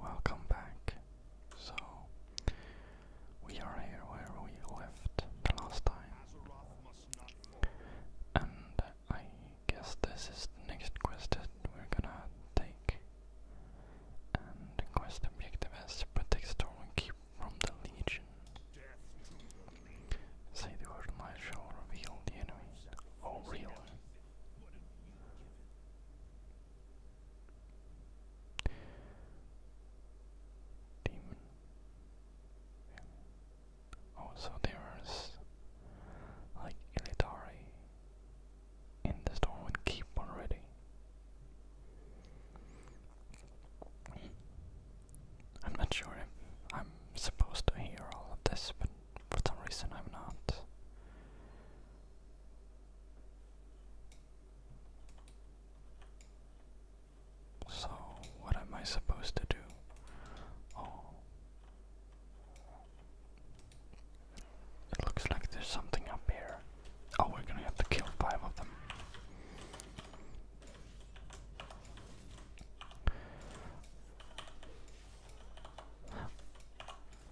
Welcome back. So, we are here where we left the last time. And I guess this is the next quest that we're gonna take. And the quest objective is protect storm from the legion. Say the word, and I shall reveal the enemy. Oh, really? Demon. Oh, so there's like Ilitari in the Stormwind Keep already. I'm not sure I'm supposed to hear all of this, but for some reason I'm not. So, what am I supposed to do? Oh. It looks like there's something up here. Oh, we're gonna have to kill five of them.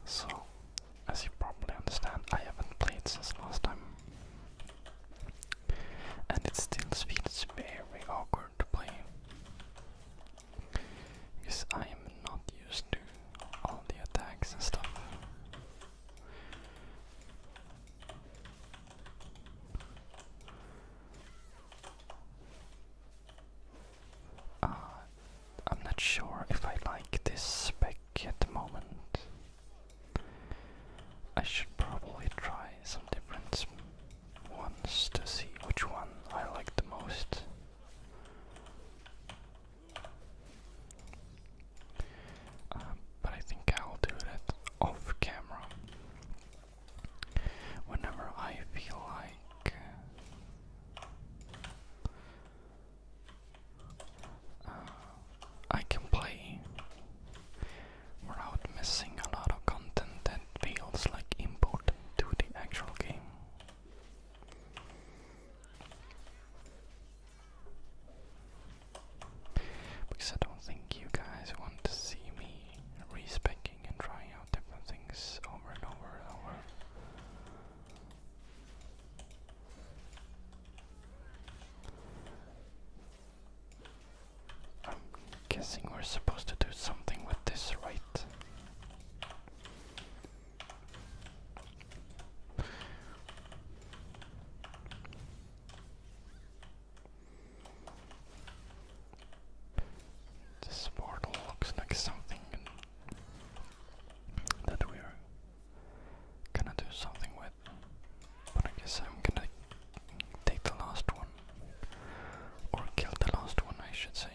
So, as you probably understand, I haven't played since last time. And it still feels very awkward to play. Because I am not used to all the attacks and stuff. Uh, I'm not sure if I like this spec at the moment. I should probably try some different ones to see which one I like the most. Uh, but I think I'll do that off camera whenever I feel like. Uh, I can play without missing a lot of content that feels like important to the actual game. Because I don't think you guys want to see me respecking and trying out different things over and over and over. I'm guessing we're supposed to do something with this, right? This portal looks like something that we're gonna do something with. But I guess I'm gonna take the last one. Or kill the last one, I should say.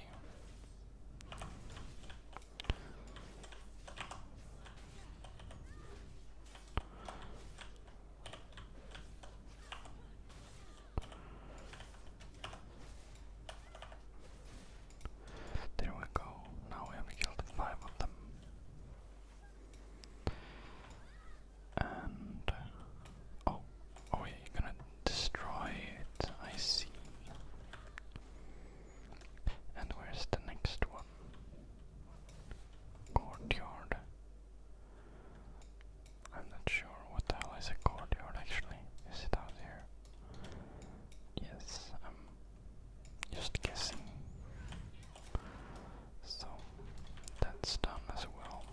There we go. Now we have killed five of them. And uh, oh, oh, you're gonna destroy it. I see. And where's the next one? Courtyard. I'm not sure what the hell is a courtyard actually. Is it out here? Yes, I'm just guessing. So that's done as well.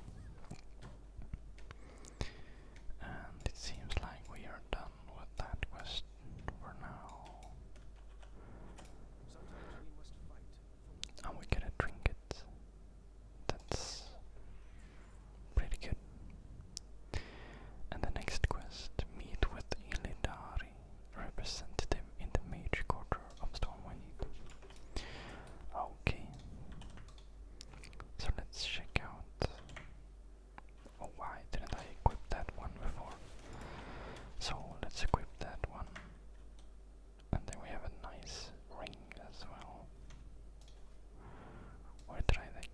And it seems like we are done with that quest for now. And we get a trinket. That's pretty good. And the next quest, meet with Illidari, representative in the mage quarter of Stormwind. Okay. So let's check out. Oh, why didn't I equip that one before? So let's equip that one. And then we have a nice ring as well. Where did I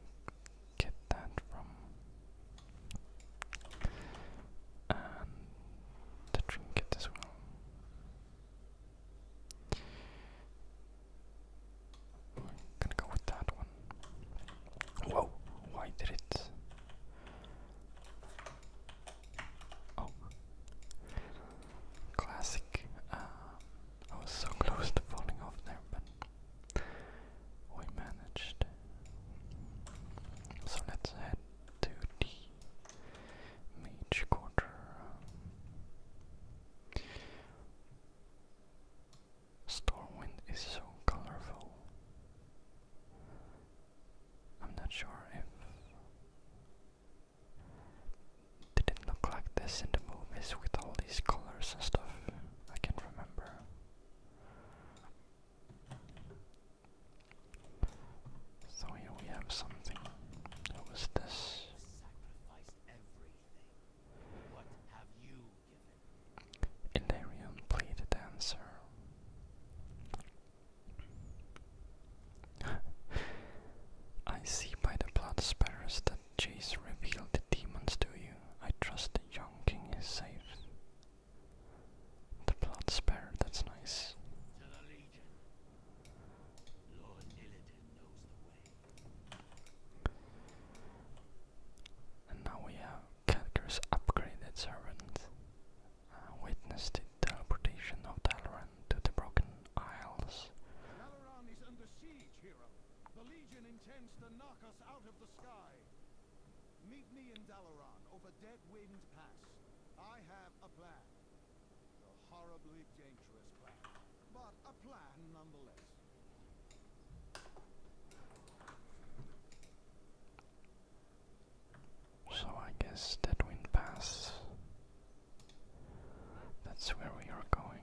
get that from? And the trinket as well. gonna go with that one. Whoa! Why did it? Oh. Classic. Um, I was so close to falling off there, but we managed. So let's head to the mage quarter. Stormwind is so colorful. I'm not sure if. Didn't look like this in the movies with all these colors and stuff. I can't remember. So here we have something. What was this? What have you I see by the blood spatters that Jace revealed the demons to you. I trust the young king is safe. The blood spare, that's nice. And now we have Catgir's upgraded servant uh, witnessed the teleportation of Dalaran to the Broken Isles. Dalaran is under siege, hero. The Legion intends to knock us out of the sky. Meet me in Dalaran over Dead Wind Pass. I have a plan. A horribly dangerous plan, but a plan nonetheless. So I guess that wind Pass. That's where we are going.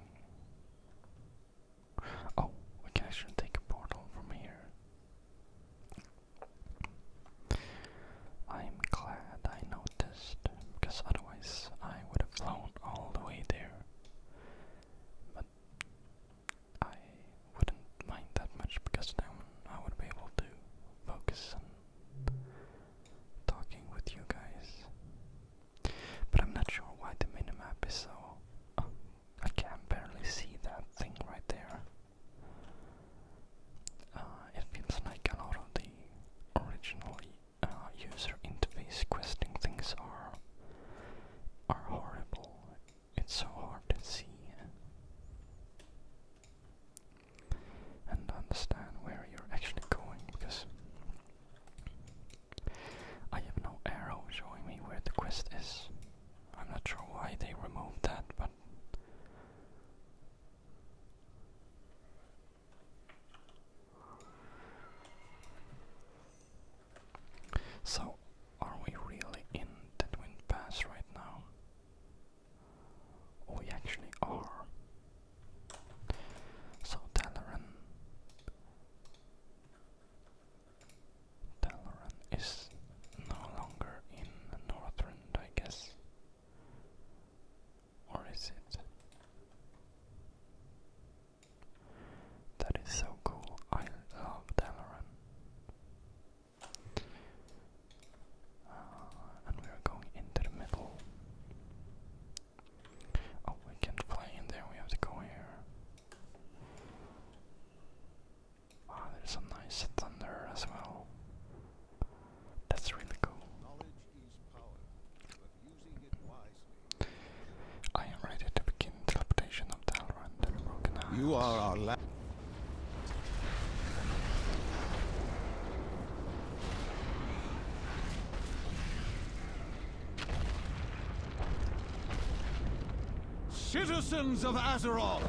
Oh, we can actually take a portal from here. I'm glad I noticed, because otherwise I would have flown all the way there. But I wouldn't mind that much because now I would be able to focus on talking with you guys. But I'm not sure why the minimap is so. Oh, I can barely see that thing right there. Uh, it feels like a lot of the originally uh, user interface questing things are are horrible. It's so hard to see and understand where you're actually going because I have no arrow showing me where the quest is. I'm not sure why they removed that, but so, are we really in Deadwind Pass right now? Oh, we actually are. So Talaran Talaran is no longer in Northrend, I guess. Or is it? That is so cool. I love Dalaran. Uh, and we are going into the middle. Oh, we can't fly in there, we have to go here. Wow, ah, there's some nice thunder as well. That's really cool. I am ready to begin teleportation of Talrand You are our last. Citizens of Azeroth!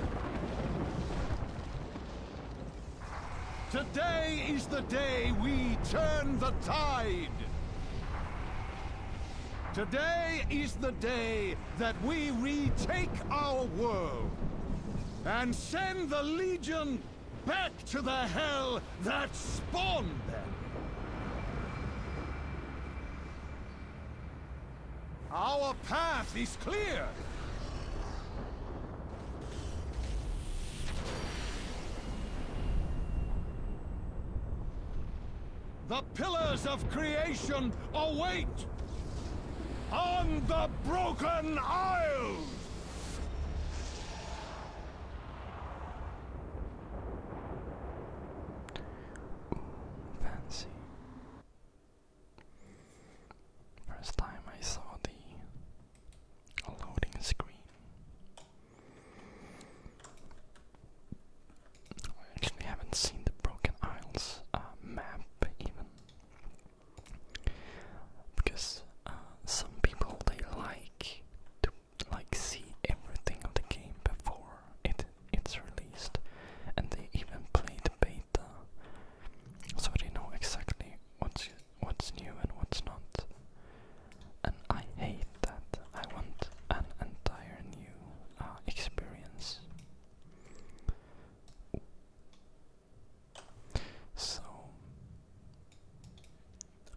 Today is the day we turn the tide! Today is the day that we retake our world! and send the Legion back to the hell that spawned them. Our path is clear. The pillars of creation await! On the Broken Isles! fancy. First time I saw the loading screen. I actually haven't seen the Broken Isles uh, map even because uh, some people they like to like see everything of the game before it it's released, and they even play the beta, so they know exactly what's what's new and what's not. And I hate that. I want an entire new uh, experience. So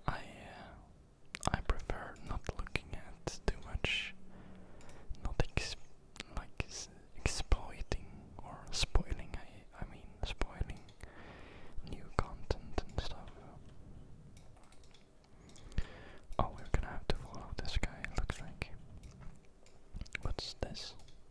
I uh, I prefer not looking at too much, not ex like exploiting or spoiling. I I mean spoiling new content and stuff. Oh, we're gonna have to follow this guy. looks like. What's this?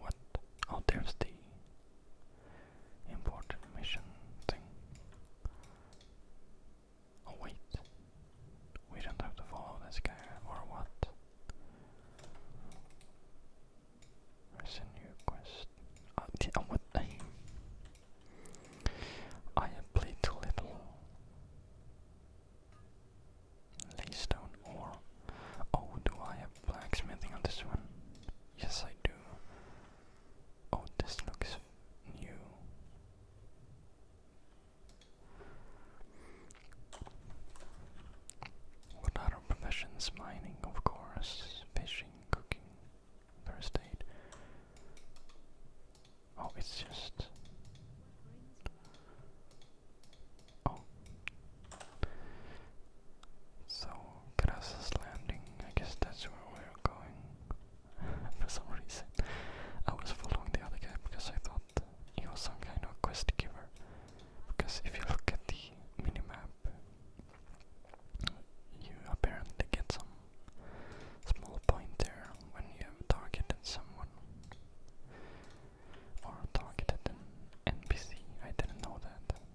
What? Oh, there's the important mission thing. Oh, wait. We don't have to follow this guy, or what? There's a new quest. Oh, oh what? I have played too little. Laystone or oh do I have blacksmithing on this one? Yes I do. Oh this looks new. What other professions? Mining, of course, fishing, cooking, first aid. Oh, it's just. Oh, so, Grass's Landing, I guess that's where we're going. For some reason, I was following the other guy because I thought he was some kind of quest giver. Because if you look at the mini map, you apparently get some small point there when you have targeted someone or targeted an NPC. I didn't know that.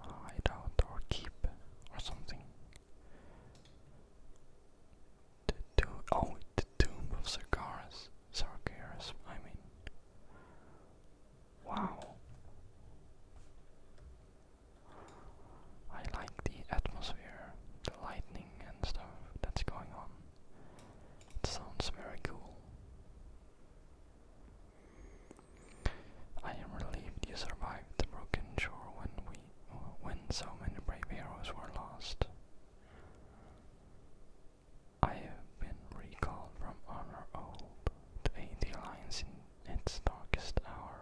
hide out or keep or something. The tomb, oh, the tomb of Sargeras, Sargeras, I mean. Wow. I like the atmosphere, the lightning and stuff that's going on. It sounds very cool. I am relieved you survived the broken shore when we when so many brave heroes were lost. I have been recalled from honor old to aid the Alliance in its darkest hour.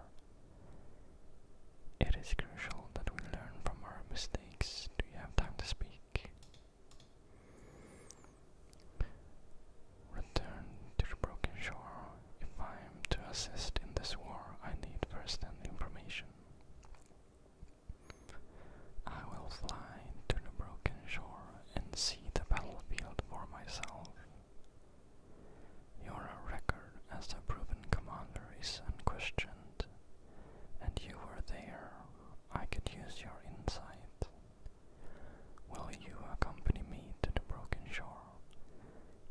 It is crucial that we learn from our mistakes. Do you have time to speak? Return to the broken shore. If I am to assist in this war, I need 1st information. I will fly to the broken shore and see the battlefield for myself. Your record as a proven commander is unquestioned, and you were there. I could use your insight. Will you accompany me to the broken shore?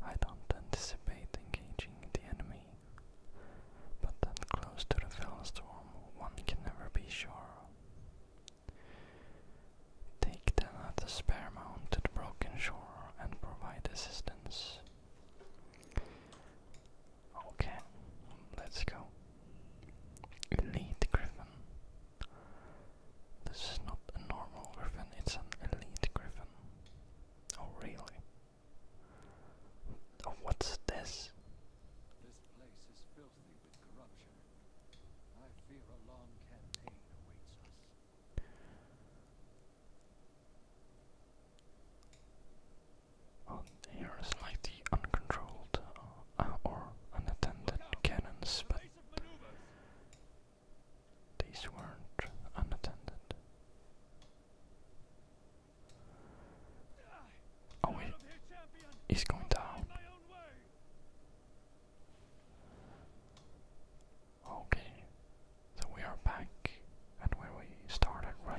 I don't anticipate engaging the enemy. But that close to the Fellstorm, one can never be sure. Take them at the spare mount to the broken shore and provide assistance. Okay, let's go. Elite Griffin. This is not a normal griffin, it's an elite griffin. Oh, really? Oh, what's this? This place is filthy with corruption. I fear a long campaign awaits us. Oh, here is like uncontrolled uh, or unattended cannons, but these weren't unattended. Oh, he, he's going down. Okay, so we are back at where we started, right?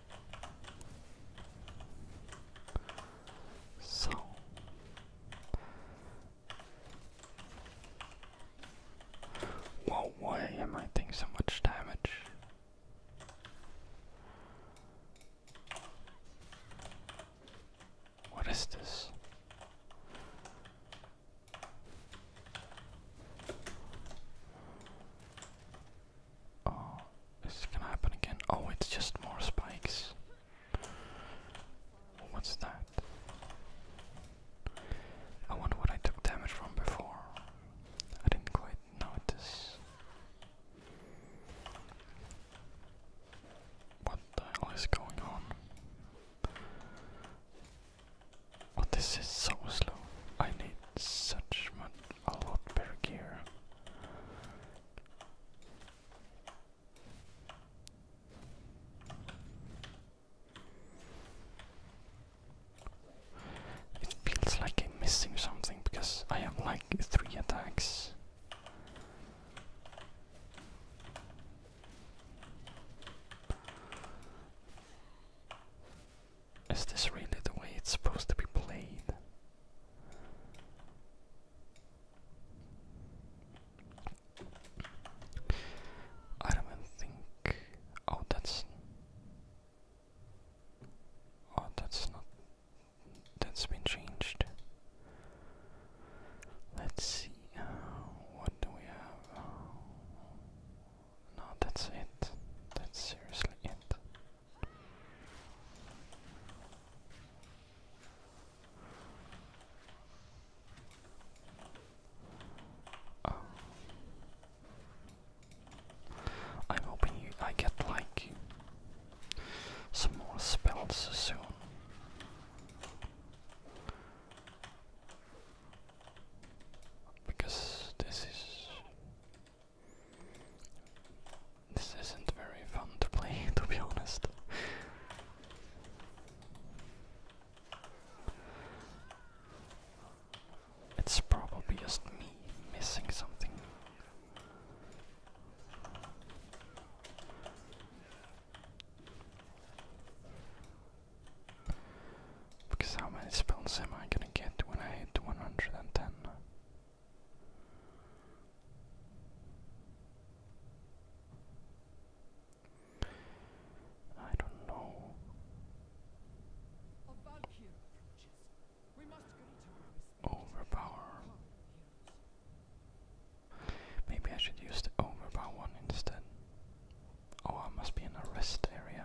So why am I taking so much damage? What is this? Oh, this is gonna happen again. Oh, it's just more spikes. What's that? I wonder what I took damage from before. I didn't quite notice. What the hell is going on? Well, oh, this is so slow. I need such much a lot better gear. It feels like I'm missing something because I have like three attacks. Is this really the way it's supposed to be played? I don't even think. Oh, that's. Oh, that's not. That's been changed. Let's see. Uh, what do we have? no, that's it. That's seriously it. Oh. I'm hoping I get like some more spells soon. Because this is this isn't very fun to play, to be honest. It's probably just me missing something. Because how many spells am I gonna get when I hit 110? I don't know. Overpower. Maybe I should use the overpower one instead. Oh, I must be in a rest area.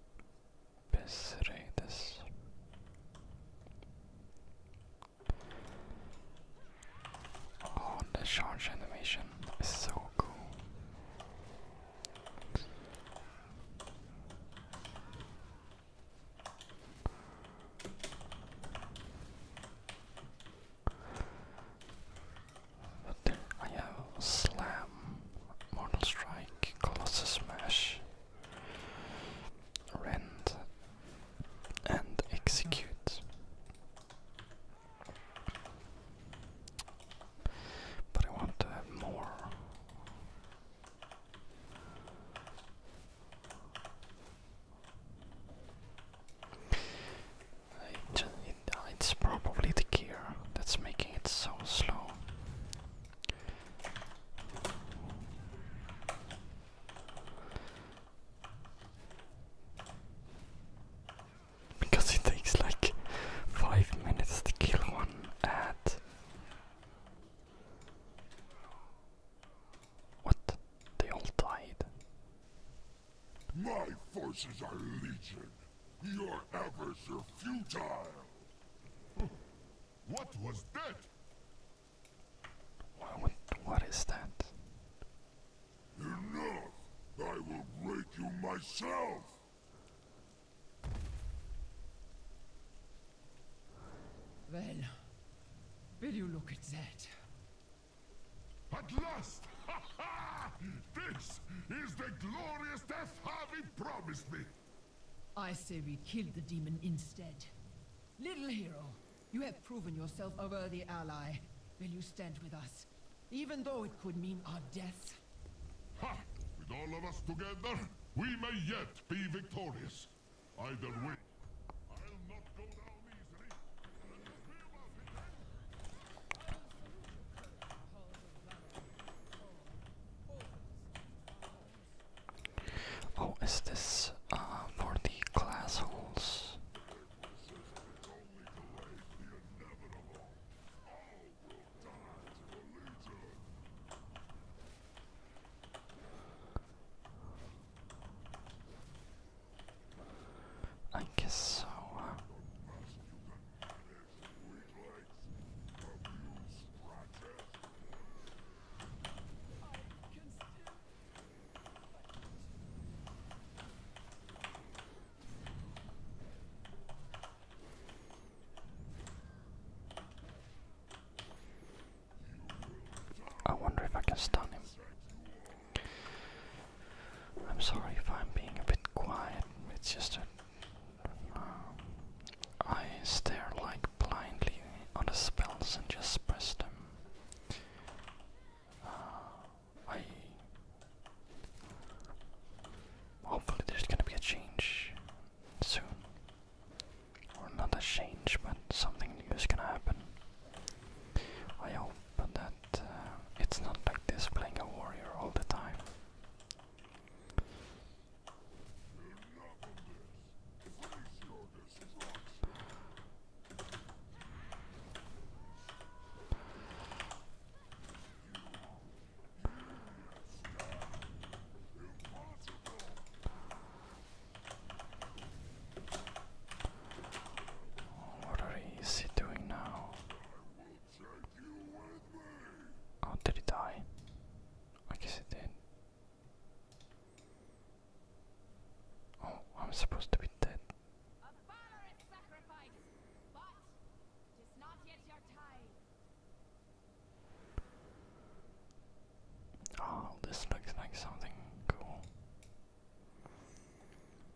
besredes. Oh, the charge animation is so cool. I have Slam, Mortal Strike, Colossus Smash, Rend, and Execute. But I want to have more. Uh, it's probably the gear that's making it so slow. Because it takes like five minutes to kill one ad. What? They all died. My forces are legion. Your efforts are futile. Hmm. What was that? what is that? Enough! I will break you myself! Well, will you look at that? At last! Ha ha! This is the glorious death Harvey promised me. I say we kill the demon instead. Little hero, you have proven yourself a worthy ally. Will you stand with us, even though it could mean our death? With all of us together, we may yet be victorious. Either way, I'll not go down easily. Oh, is this uh, for the glass holes? I guess so. I wonder if I can stun him. I'm sorry if I'm being a bit quiet, it's just a, um, I stare like blindly on the spells and just press them. Uh, I hopefully there's gonna be a change soon. Or not a change, but something new is gonna happen. I hope that uh, it's not like this playing a warrior all the time. What is he doing now? Oh, did it die? I guess it did. Oh, I'm supposed to be dead. Oh, this looks like something cool.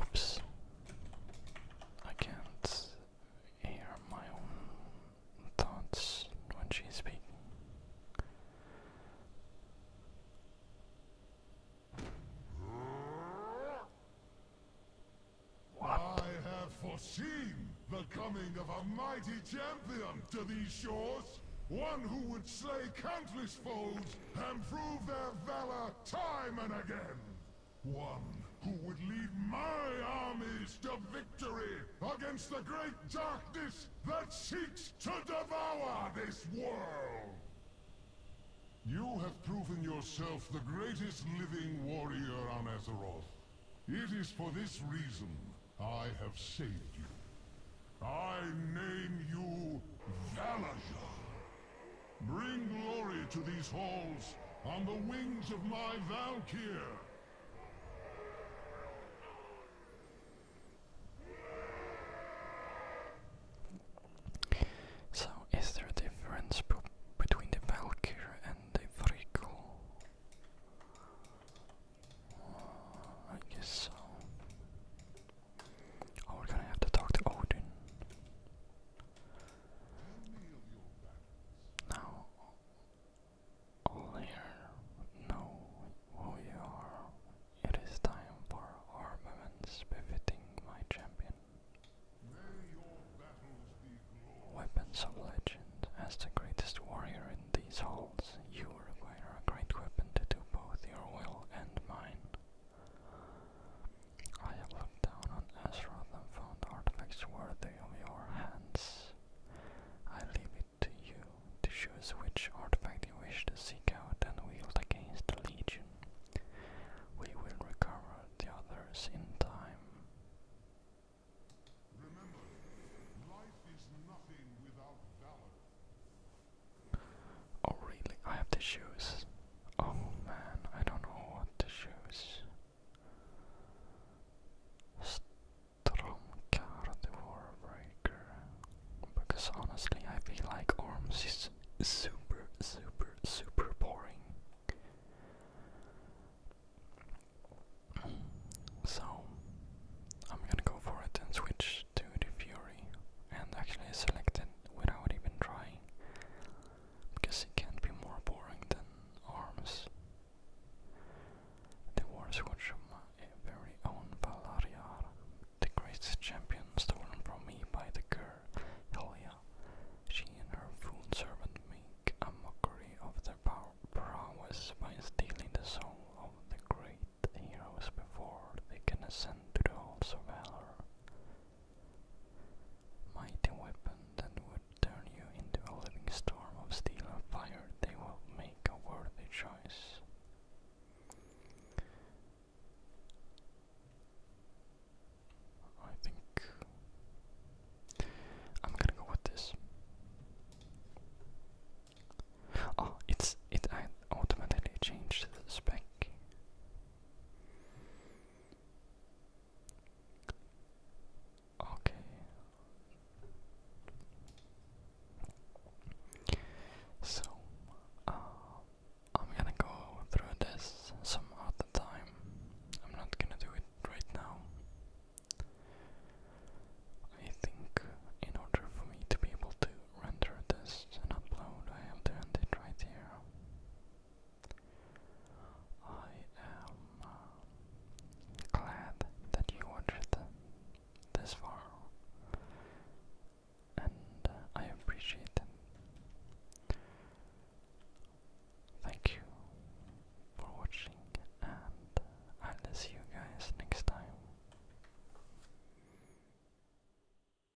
Oops. I can't hear my own thoughts when she's speaking. I have foreseen the coming of a mighty champion to these shores. One who would slay countless foes and prove their valor time and again. One who would lead my armies to victory against the great darkness that seeks to devour this world! You have proven yourself the greatest living warrior on Azeroth. It is for this reason I have saved you. I name you Valajar. Bring glory to these halls on the wings of my Valkyr! So, is there a difference between the Valkyr and the Vrikul? Uh, I guess so. Oh, we're gonna have to talk to Odin. Now, later, know who you are. It is time for armaments befitting my champion. Weapons of legend. As the greatest warrior in these halls, you require a great weapon to do both your will and mine. I have looked down on Azeroth and found artifacts worthy of your hands. I leave it to you to choose which artifact you wish to seek out and wield against the Legion. We will recover the others in time. Oh really? I have the shoes. Oh man, I don't know what the shoes. Stromkar breaker. Because honestly, I feel like Arms is super, super, super boring. So, I'm gonna go for it and switch to the Fury and actually selected without even trying, because it can't be more boring than arms. The war switch of my very own Valariar, the greatest champion stolen from me by the girl Helia. She and her fool servant make a mockery of their power prowess by stealing the soul of the great heroes before they can ascend to the halls of valor. Mighty weapon that would turn you into a living storm of steel and fire, they will make a worthy choice. I think I'm gonna go with this. Oh, it's it I automatically changed the spec. Okay. So, uh, I'm gonna go through this some other time. I'm not gonna do it right now. I think in order for me to be able to render this and upload. I have turned it right here. I am uh, glad that you watched this far, and uh, I appreciate it. Thank you for watching, and uh, I'll see you guys next time.